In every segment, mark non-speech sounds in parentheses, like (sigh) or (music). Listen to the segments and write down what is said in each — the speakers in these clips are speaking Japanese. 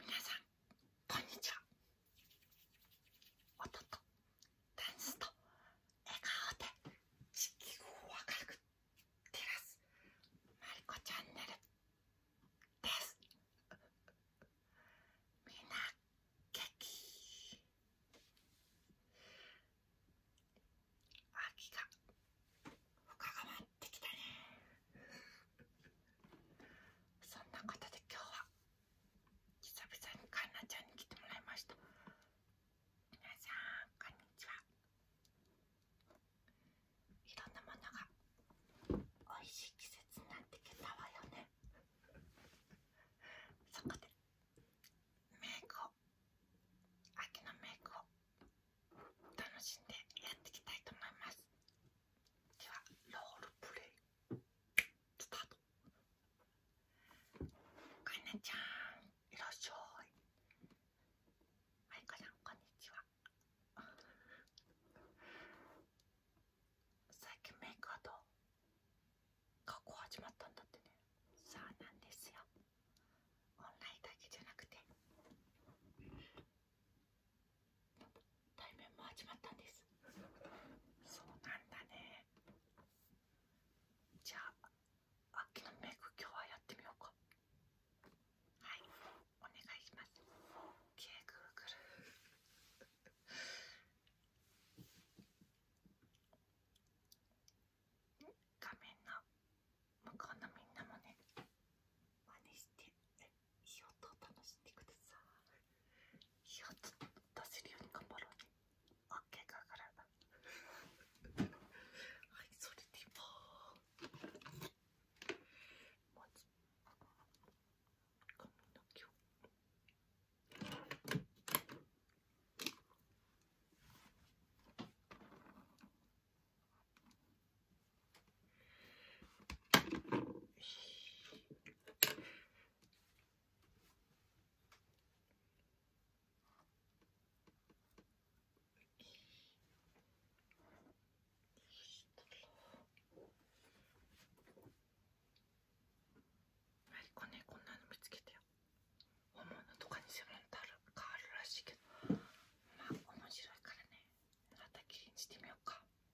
皆さんこんにちは音とダンスと笑顔で地球を明るく照らすまりこチャンネルですみんな元気秋が深川っきたねそんなことで今日は久々にかんなちゃんに来てもらいました皆さんこんにちはいろんなものがおいしい季節になってきたわよねそこでメイクを秋のメイクを楽しんでやっていきたいと思いますではロールプレイスタかいちゃんいらっしゃいはいかちんこんにちは最近メイクアウト学始まったんだってねそうなんですよオンラインだけじゃなくて対面も始まったんですそうなんだねじゃあ秋のメイク今日はやってみようかはいお願いしますケーグーグル (laughs) 画面の向こうのみんなもね真似していい音を楽しんでくださいいい音出せるように頑張ろうね OK かからなはいそれではまず髪の毛をマリコねこんなの見つけたよ本物とかに専門ってある変わるらしいけどまあ面白いからねまたきれいにしてみようか。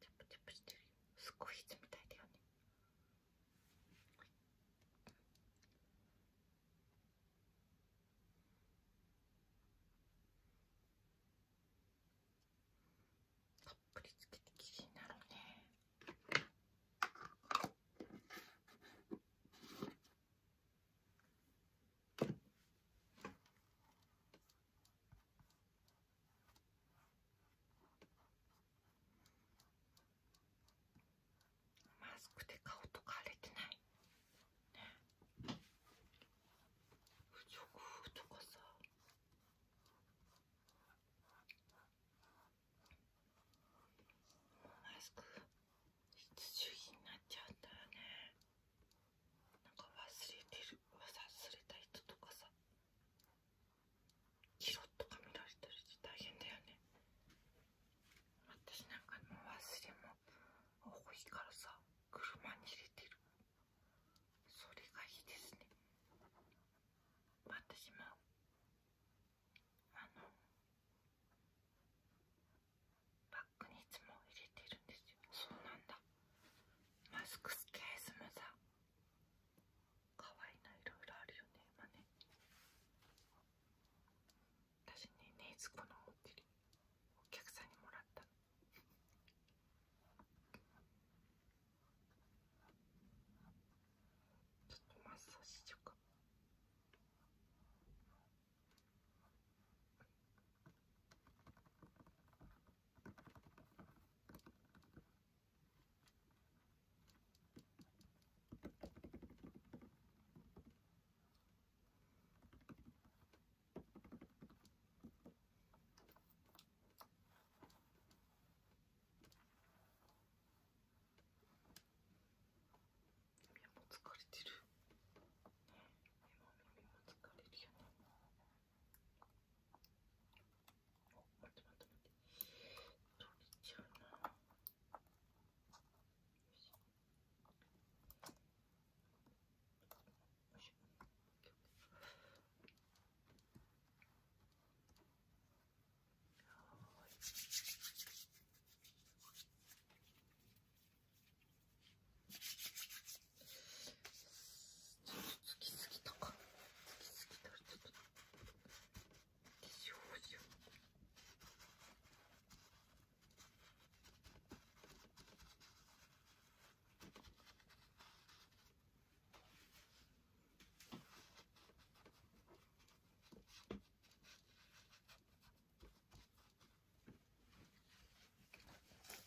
チャプチャプしてるよすごいみたいだよねたっぷりつけてきれいになるねマスクで顔とか荒れてないね不織布とかさもうマスク必需品になっちゃうんだよねなんか忘れてる忘れた人とかさチロッとか見られたりして大変だよね私なんかも忘れも多いからさ車に入れてるそれがいいですね私もあのいつも入れてるんですよマスクスケースもさ可愛いないろいろあるよね今ね私ねねいこのおっお客さんにもらったのちょっとマッサージしようかもう疲れてるも耳も疲れるよね待って待って待って取れちゃうなつきすぎたかつきすぎたちょっと化粧をしよ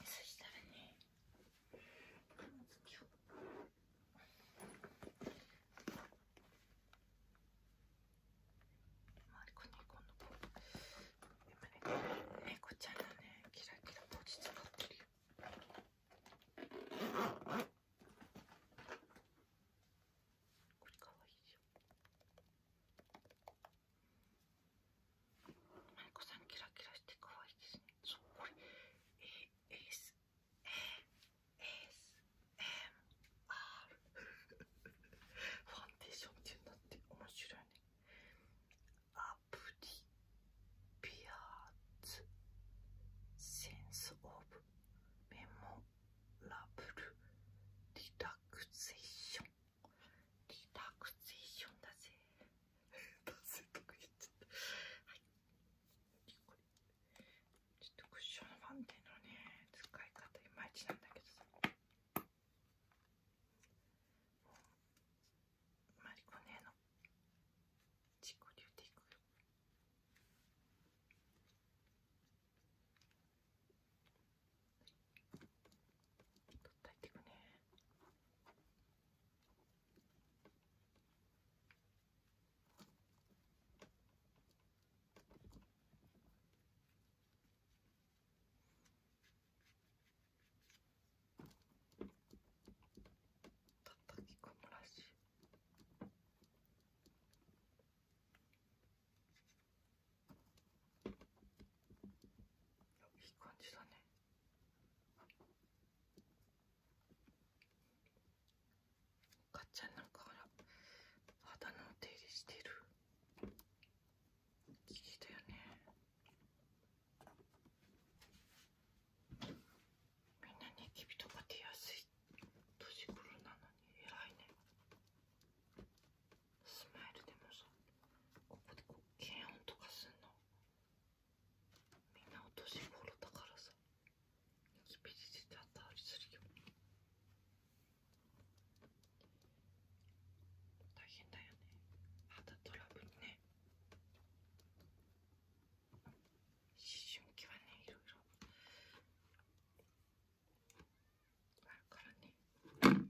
そしたらねこの月をマリコね今度こう今ね猫ちゃんのねキラキラポジ使ってるこれかわいいよ。マリコさんキラキラして可愛いですねそうこれ ASMR ファンデーションっていうのって面白いねアプリピアーツセンスオブメモラブルリラクゼーションリラクゼーションだぜせっかく言っちゃったはいこれちょっとクッションファンデのね使い方いまいちなんだけどさマリコ姉の自己流でいくよ取ったいってくね。叩き込むらしい。いい感じだね。かっちゃんなんかほら肌のお手入れしてる綺きだよねみんなニキビとか出やすい年頃なのに偉いねスマイルでもさここでこう検温とかすんのみんな落お年頃だからさニキビ出てたったりするよ大変だよね肌トラブルね思春期はねいろいろあるからね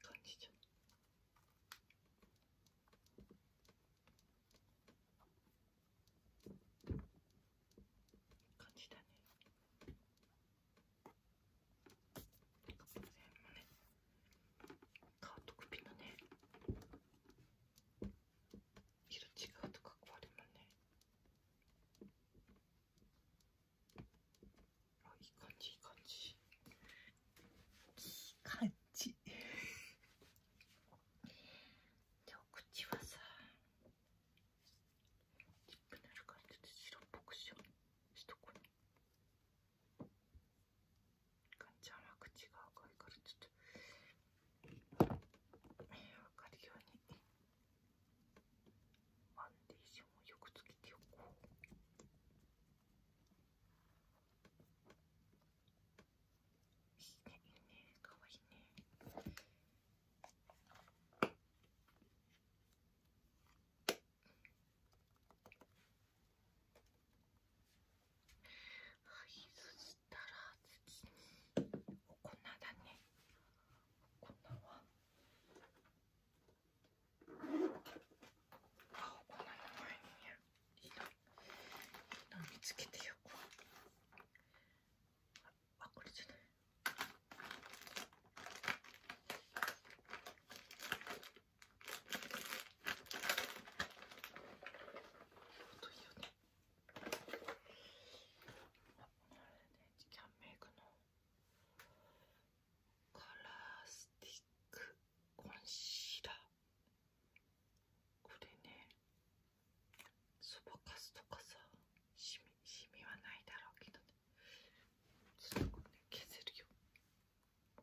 感じちゃう。感じだね。全部ね。カート首のね。色違うとかこれもね。あいい感じいい感じいい感じでお口はさチップ塗るからちょっと白っぽくしようしとこうかんは口が赤いからちょっと分かるように。ファンデーションをよくつけておこう。いいね、いいね、かわいいね。はい、そしたら次にお粉だね。お粉は。あお花の前にいつけてよこあこれじゃない音いよねあれねキャンメのカラースティックコンシーラーこれねそばかすとかさしみ、シミはないだろうけどねちょっとこれ、ね、削るよこ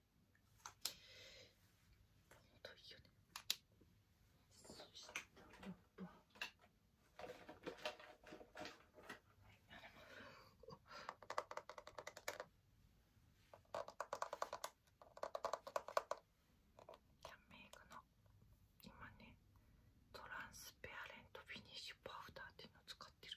といいよねそしたらば、はい、あれもキャンメイクの今ねトランスペアレントフィニッシュパウダーっていうのを使ってる。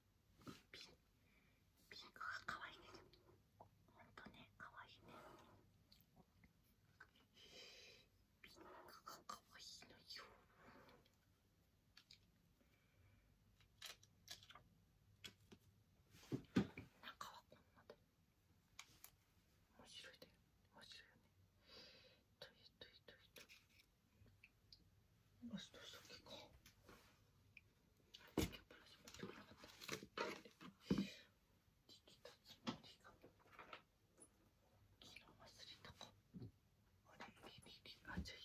ピンピンクが可愛いねほんとね可愛いねピンクが可愛いのよ中はこんなで面白いだよ面白いよねといといといといよしどうか今日プラス持ってこなかった一つもりが昨日忘れたあれれれれあじゃいや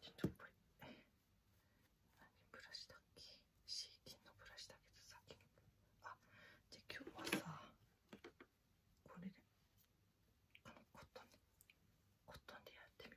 ちょっとこれブラシだっけ CD のブラシだけとさ。にあじゃあ今日はさこれでこのコットンコッでやってる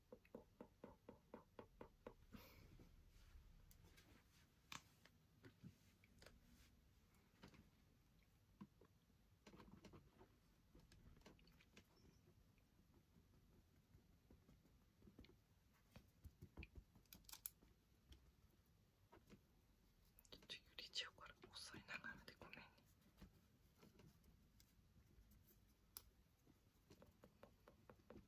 ちょっと揺れちゃうから遅いながらでごめんね。みんなの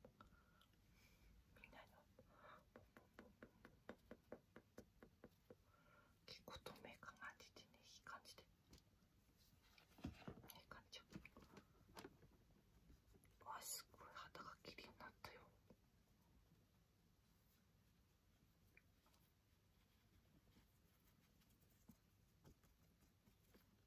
結構透明感が出てねいい感じでいい感じわすごい肌が綺麗になったよ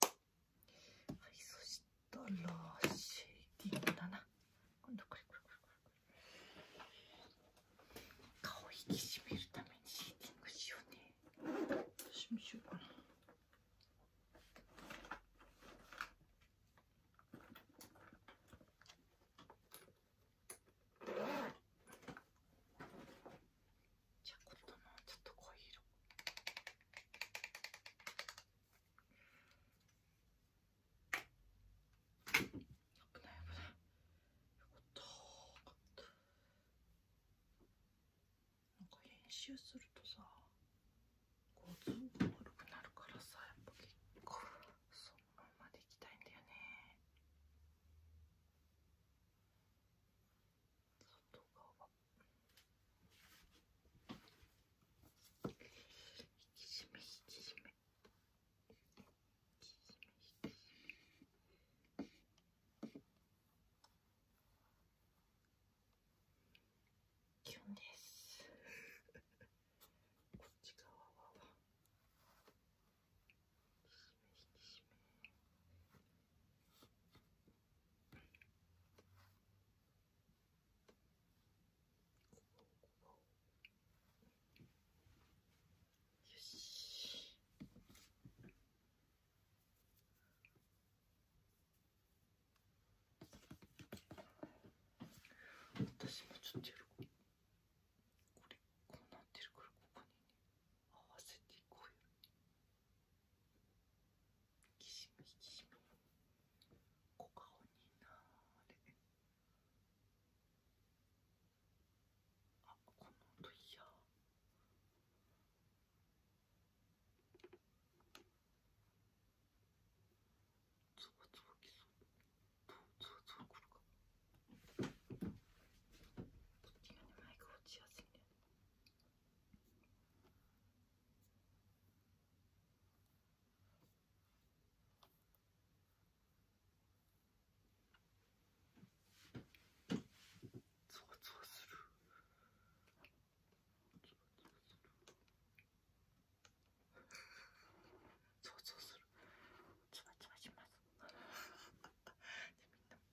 はいそしたらシェイディングだな今度これこれこれこれ顔引き締めるためにシェーディしようねじゃあ今度のちょっと濃い色危なないよかよかったなんか編集するとさこうズボン悪くなるからさやっぱ結構そのままでいきたいんだよね外側引き締め引き締め引き締め引き締めキュですこっち側は。私もちょっとやるこれこうなってるからここにね合わせていこうよき締めき締め小顔になあこの音いやゾワゾワきそうゾワくるかこっちのねマイク落ちやすいね。ゾワゾワするゾワゾワするゾワゾワするゾワゾワします (laughs) ん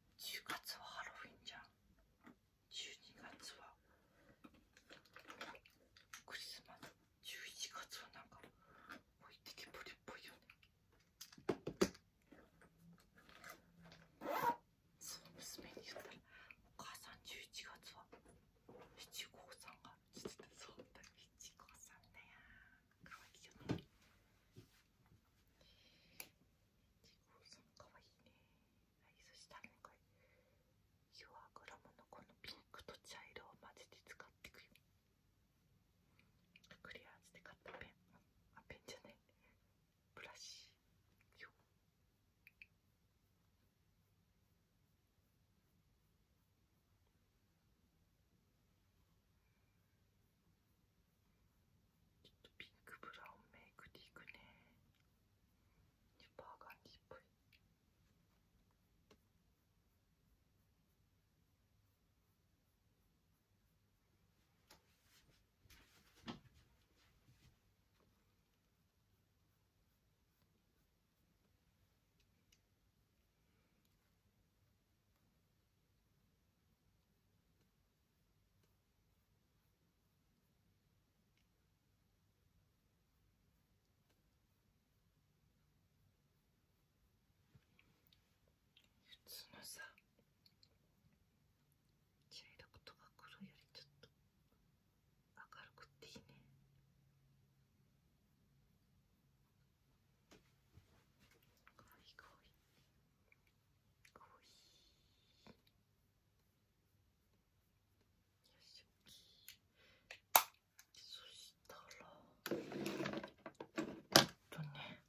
10月はハロウィンじゃん12月はクリスマス11月はなんか置いてけぼりっぽいよねそう娘に言ったら「お母さん11月は七五三がある」って言ってそうだ七五三だよかわいいよねジゴーさんかわいいねはいそしたら、れもかいユアグラムのこのピンクと茶色を混ぜて使っていくよクリアーズで買ったペンあペンじゃないブラシよちょっとピンクブラウンメイクでいくねニッパーガンデっぽい普通のさ茶色くとか黒よりちょっと明るくていいねかわいいかわいいほいよしおきそしたらえっとね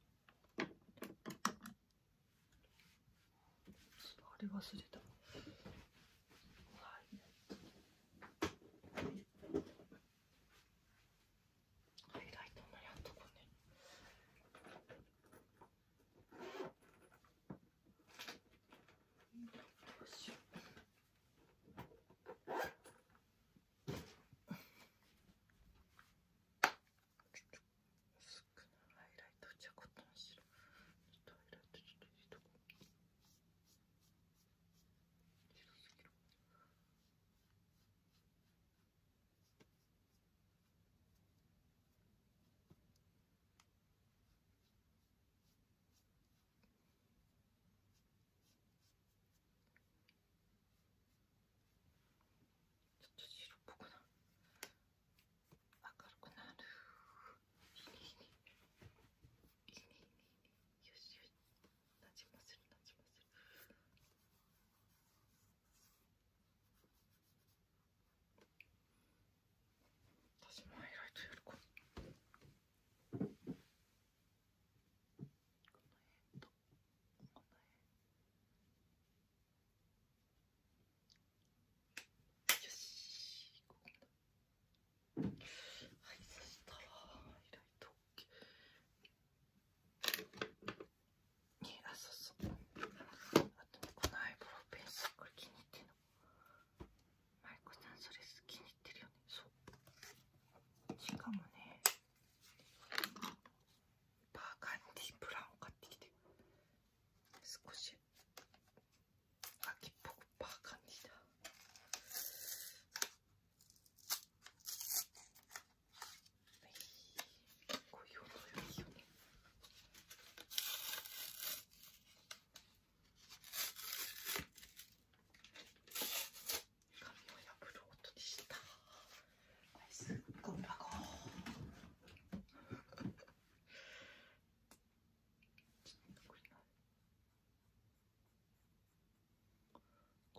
あれ忘れたはいハイライトもやっとこうねどうしよう薄くなハイライトじゃこっちの白ちょっとハイライトちょっと入れちょっと白っぽくな明るくなるよしよしなじませるなじまる。私もハイライトやるかこよしはいそしたらハイライト OK にあそうそうあとこのアイブロウペンスこれ気に入ってんのマイコさんそれ気に入ってるよねそうしかもねバーカンディブラウンを買ってきて少し秋っぽくパーカンディだこいう音がいよね紙を破る音でしたすっごい箱こ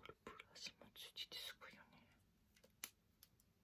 れプラスもついてすごいよね。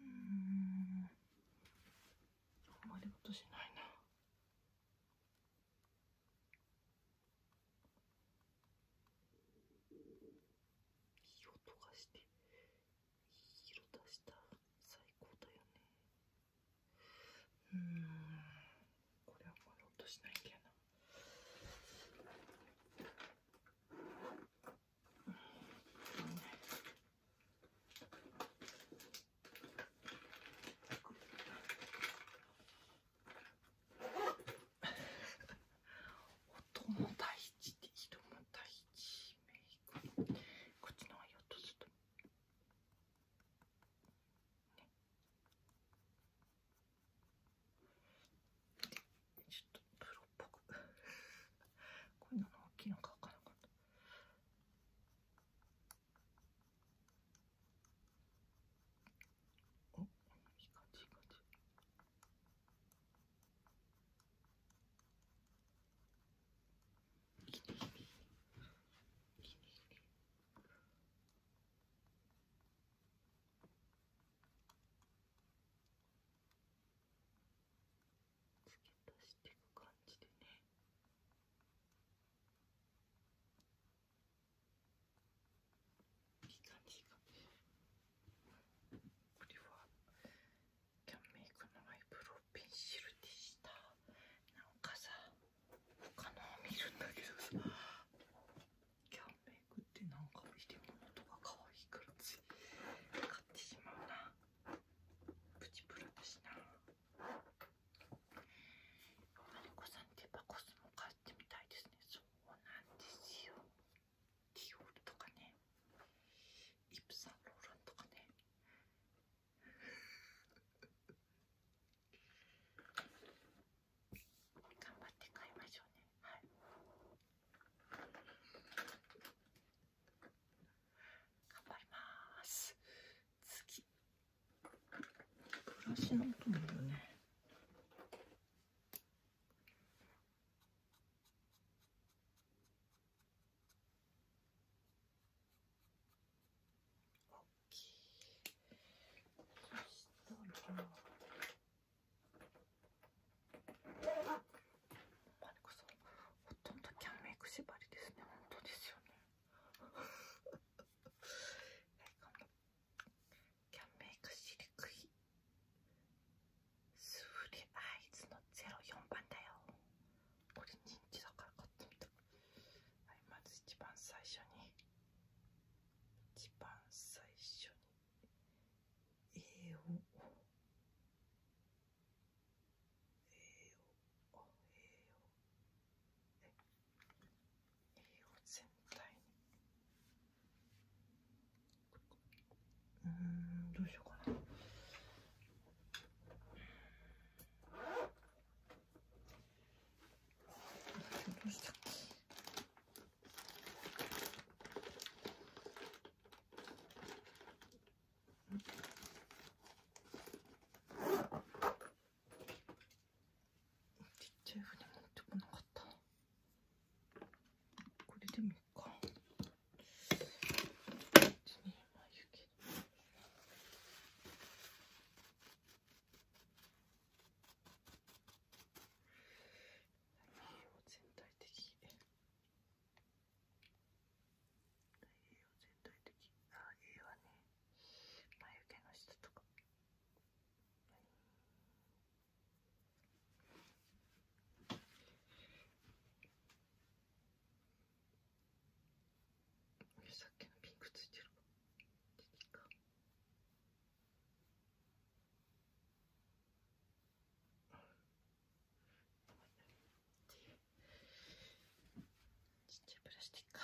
うんあんまり音しないないい音がしていい色出した最高だよねうんこれあんまり音しないんだよな音も大事で色も大事メイクこっちの絵音するとねっ。ちょっとプロっぽくこんなの大きいの書かなかったおいい感じいい感じいいねいいねいいねいい付け足していく感じでねいい感じがこれはキャンメイクのアイブロウペンシルでしたなんかさ他のを見るんだけどさキャンメイクってなんか入れ物とか可愛いから強い買ってしまうなプチプラだしなマリコさんってやっぱ買ってみたいですねそうなんですよディオールとかねイプサンローランとかね頑張って買いましょうねはい頑張ります次暮らしの音もいるねそしたらまねこさんほとんどキャンメイク縛りですね本当ですよねキャンメイクしにくいスフレアイズの04番だよこれ人気だから買ってみたはいまず一番最初に一番最初にえー、お全体にうんどうしようかなどうしたっけちっちゃい船持ってこなかったこれでもいいか別にまあいいけどを全体的に。栄養全体的ああ、栄養わね眉毛の下とかはいさっきのピンクついてるか出ていいかちっちゃいプラスティック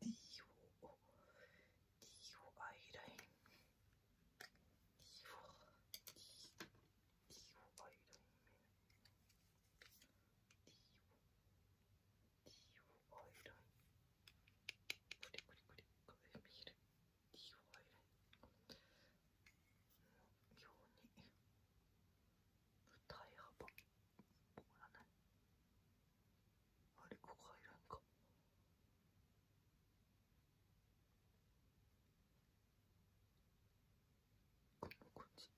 D を D をアイライン D を D, D をアイライン D を D をアイラインこれこれこれこれ見る。理由がいる妙に舞台幅もらないあれここ入らんかこんな感じ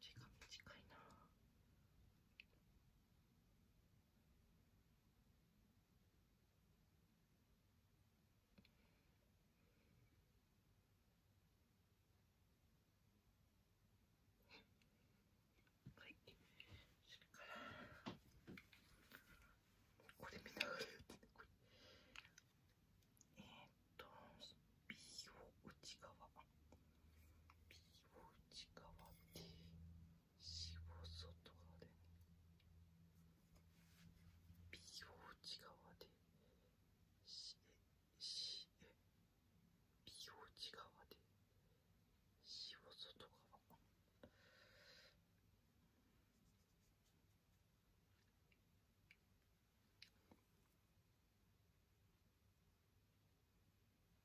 口が短いな。はいそれからこれ見ながらやってねこれえー、内側右を内側で死を外側で右を内側で死へ死へ右を内側で死を外側右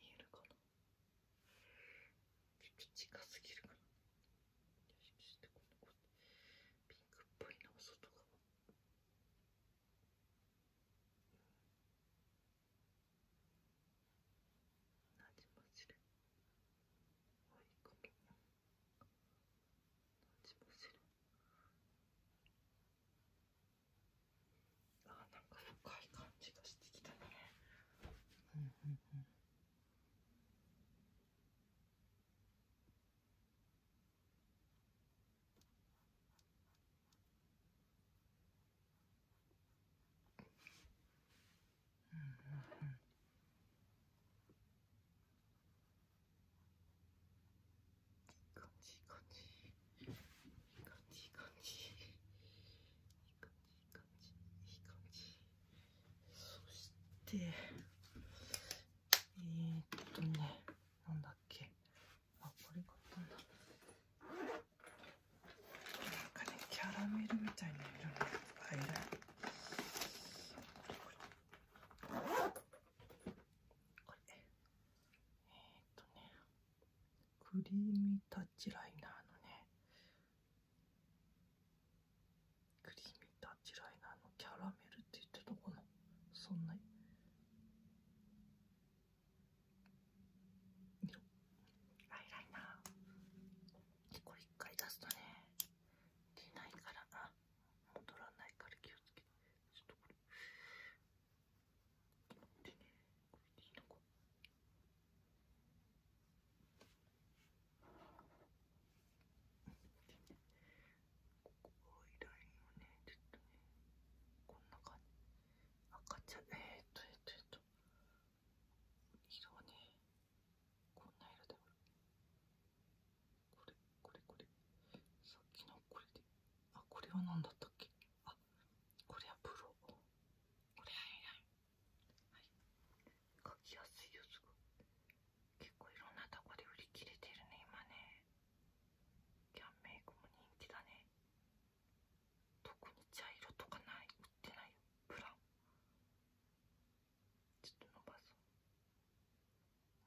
見えるかなちょっと近すぎるかなよしそしてこのピンクっぽいの外側なじませるあなんか深い感じがしてきたねうんうんうんうんうんうん感じいい感じいい感じいい感じいい感じそしてえっとねなんだっけあこれか、っんだなんかねキャラメルみたいな色のアイラインこれえっとねクリーミータッチライナーのねクリーミータッチライナーのキャラメルって言ってたかなそんなに。色アイライナーでこれ一回出すとね出ないからあ戻らないから気をつけてちょっとこれでこれでいいのかでねここいライねちょっとねこんな感じ赤ちゃ、えっとえっとえっと色はねこんな色だよこれこれこれさっきのこれであこれは何だったっけあこれはプロこれはいはい書きやすいよすごい結構いろんなとこで売り切れてるね今ねキャンメイクも人気だね特に茶色とかない売ってないよブラウンちょっと伸ばそう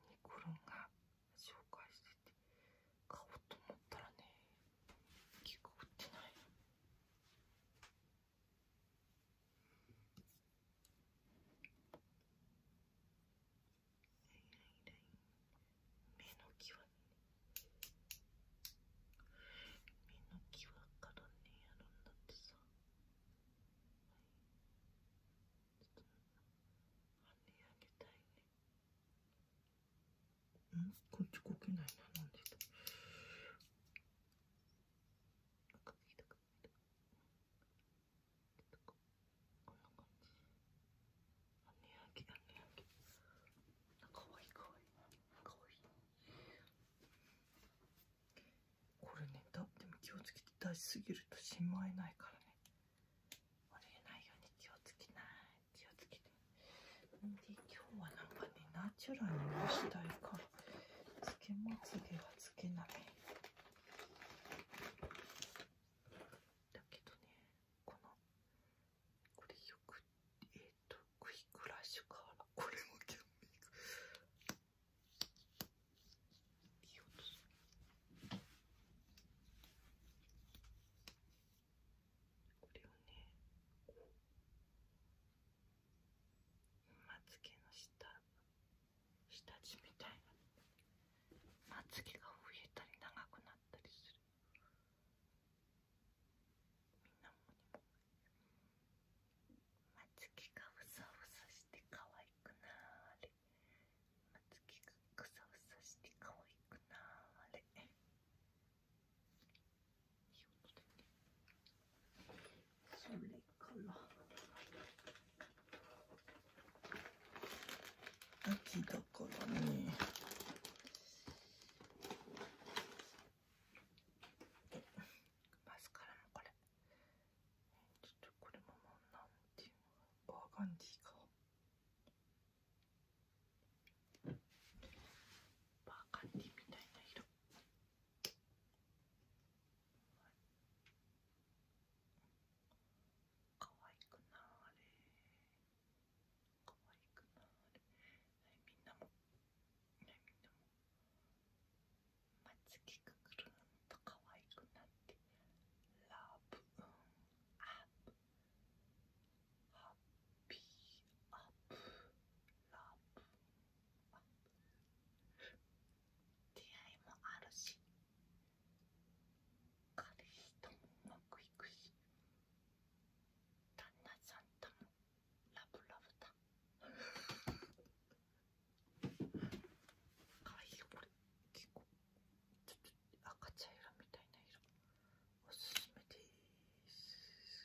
ニコルンが紹介してて買おうと思ったらね結構売ってない目の際に目の際からねやるんだってさ、はい、跳ね上げたいね。んこっちこけないななんでだかわいいこれね立っても気をつけて出しすぎるとしまえないからね折れないように気をつけない気をつけてで今日はなんかねナチュラルにしたいからつけまつげはつけないだけどねこのこれよくえっ、とクイックラッシュからこれもキャンメイクいい音するこれをねまつげの下下地みたいなまつげが増えたり長くなったりするみんなもにもまつげがふさふさしてかわいくなーれまつげがふさふさしてかわいくなーれそれから秋だからねマスカラもこれちょっとこれももうなんていうのバーガンジーかバカンデみたいな色。可愛くなーれ可愛くなれ、はい、みんなも、はみんなもまつげがくるんと可愛くなってラブうんアップハッピーアップラブ出会いもあるし彼氏ともうまくいくし旦那さんともラブラブだかわいいよこれ結構赤茶色みたいな色おすすめです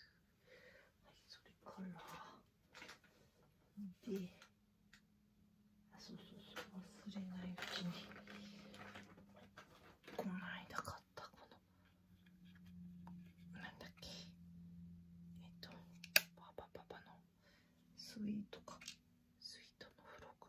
はいそれからであそうそうそう忘れないうちにこの間買ったこのなんだっけえっとパパパパのスイートかスイートの付録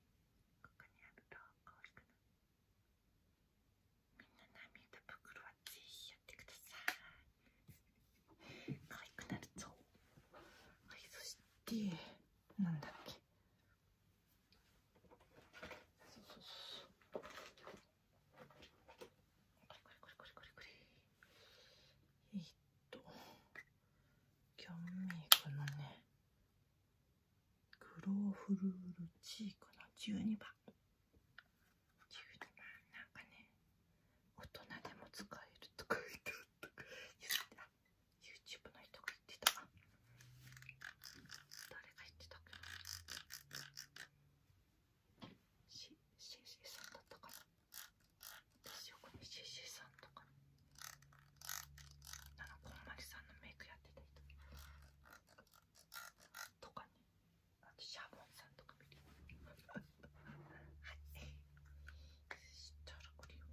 ここにあるとわきくなるみんな涙袋はぜひやってください可愛くなるぞはいそしてなんだっけそうそうそうこれこれこれこれこれえっとキャンメイクのねグローフルールチークの12番12番なんかね大人でも使えると書いてあった YouTube の人が言ってた誰が言ってたかけな CC さんだったかな私よくね CC さんとか、あのこんまりさんのメイクやってた人とかねあとシャボンさんとか見るはいしたらこれく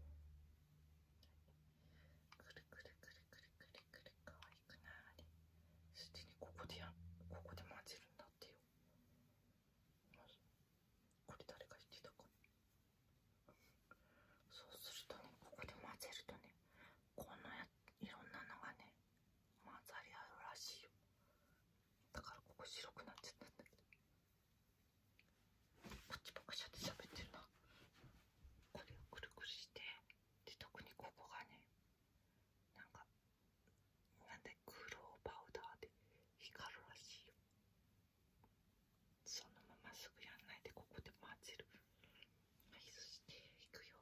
るくるくるくるくるくるかわいくないすでにここでやここで混ぜるんだってよこれ誰が言ってたかそうするとねここで混ぜるとねこんなやいろんなのがね混ざり合うらしいよだからここ白くなっちゃったんだけどこパチパカシャって喋ってるなこれをくるくるしてで特にここがねなんかなんで黒パウダーで光るらしいよそのまますぐやんないでここで混ぜるはいそしていくよ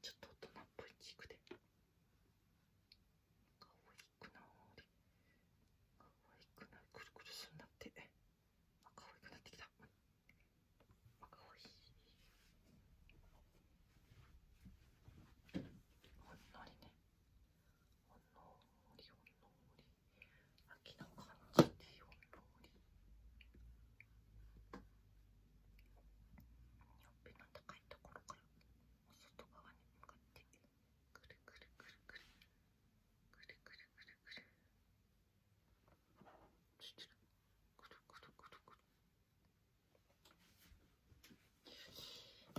ちょっと大人っぽいチークでかわいくなーかわいくなくるくるすんなってかわいくなってきたかわいいほんのりねんのりほんのり秋の感じでほんのりほっぺの高いところからお外側に向かってくるくるくるくるくるくるくるくるくるついてるくるくるくるく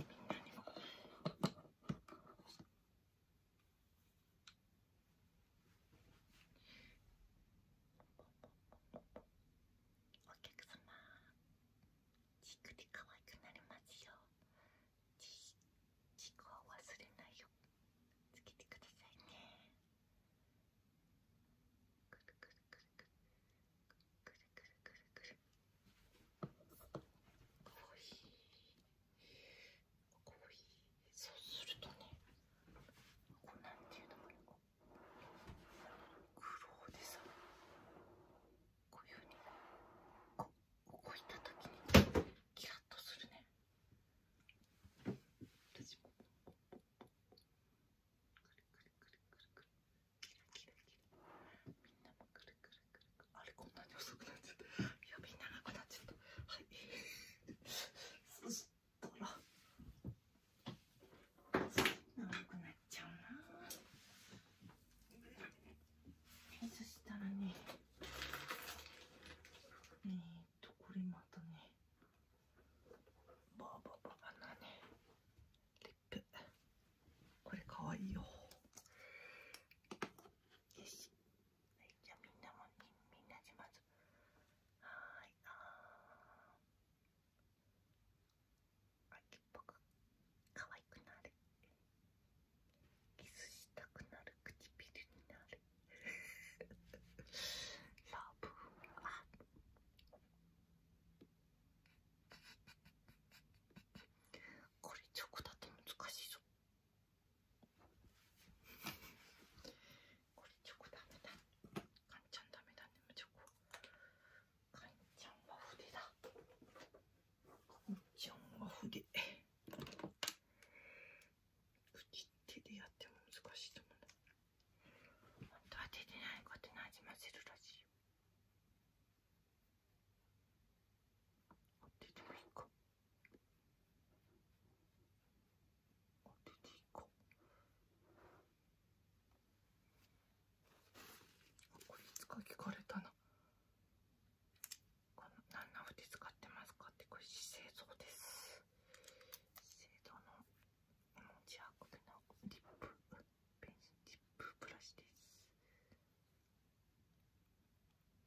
るみんなにもおお客様チークで可愛くなりますよチークは忘れないよつけてくださいねくるくるくるくるくるくるくるくるおいしいコーヒーそうするとねこうなんていうのかなこう苦労でさこういうふうにね。こう動いた時にキラッとするね私んあれこんなに遅くなっちゃった指長くなっちゃったはいそしたら長くなっちゃうなそしたらねえっとこれまたねバーバーなねこれかわいいよよしはい、じゃあみんなもみんなしまず。はーいああ。秋っぽく可愛くなるキスしたくなる唇になる (laughs) ラブあこれチョコだと難しいぞこれチョコダメだかんちゃんダメだねチョコかんちゃんは筆だかんちは筆口でやっても難しいと思うな本当は手でないことなじませるらしいよ手でもいか出ていこうこれいつか聞かれたな何の筆使ってますかってこれ資生堂です資生堂の文字アクのリップペンシリップブラシです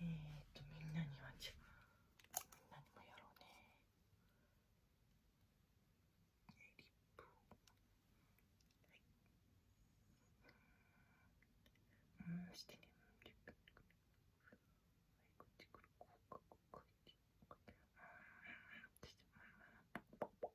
えっとみんなにはみんなにもやろうねリップをはいうんしてねリップはいこっちからこうかこうかいってうんしてうん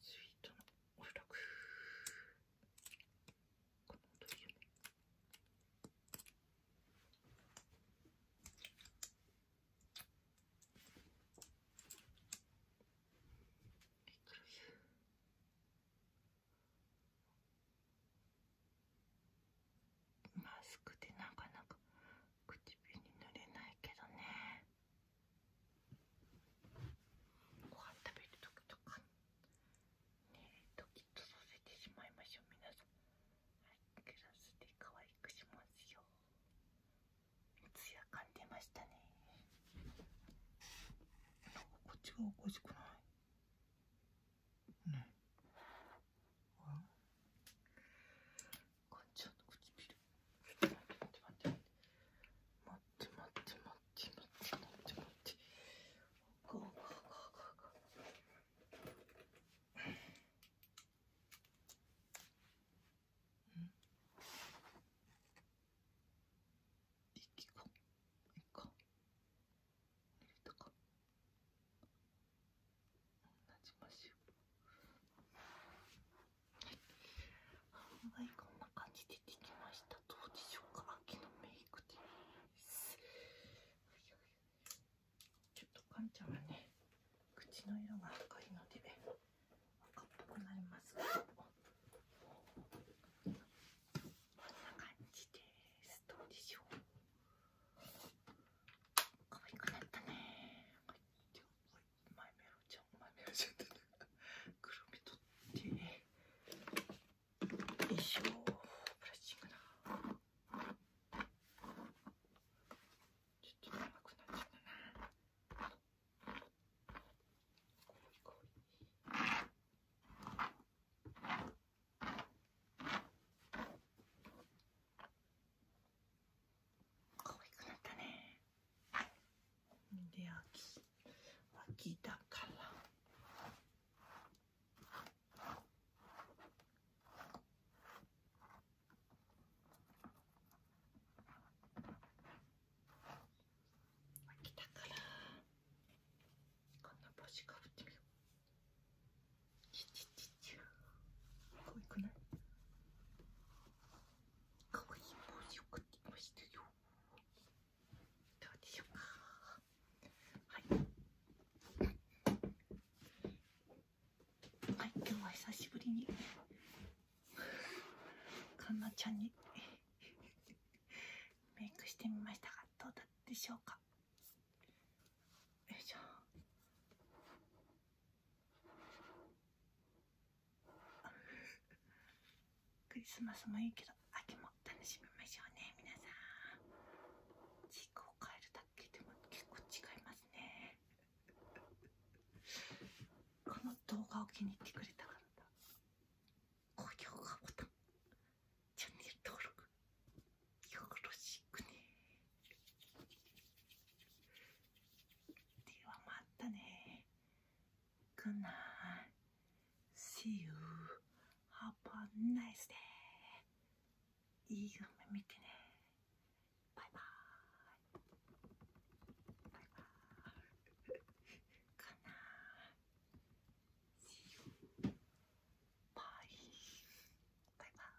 スイートのおそくこの音いいよねはいマスクでなかなか唇に塗れないけどねご飯食べる時とかねドキッとさせてしまいましょう皆さんはいグラスで可愛くしますよ艶感出ましたねなんこっちがおかしくないねあかっちの唇待って待って待って待って待って待って待って待って待ってこんな感じでできました。どうでしょうか、秋のメイクです。ちょっとかんちゃんはね、口の色が赤いので、赤っぽくなりますこんな感じです。どうでしょう。可愛くなったね。はい、では、うまいメロちゃんうまいメロちゃんってくるみ取ってよいしょブラッシングだちょっと長くなっちゃったなこいこいよ可愛くなったねで秋秋だから秋だからこんな帽子かぶってみようちちちち可愛くないかい確認もをくっていましたよどうでしょうかはいはい今日は久しぶりにかんなちゃんにメイクしてみましたがどうだったでしょうかよいしょクリスマスもいいけど秋も楽しみましょうね皆さんチークを変えるだけでも結構違いますねこの動画を気に入ってくれた方高評価ボタンチャンネル登録よろしくねではまたね。Good night. See you. Have a nice day. いい夢見てね。バイバイ。バイバイ。Good night. See you. Bye. バイバイ。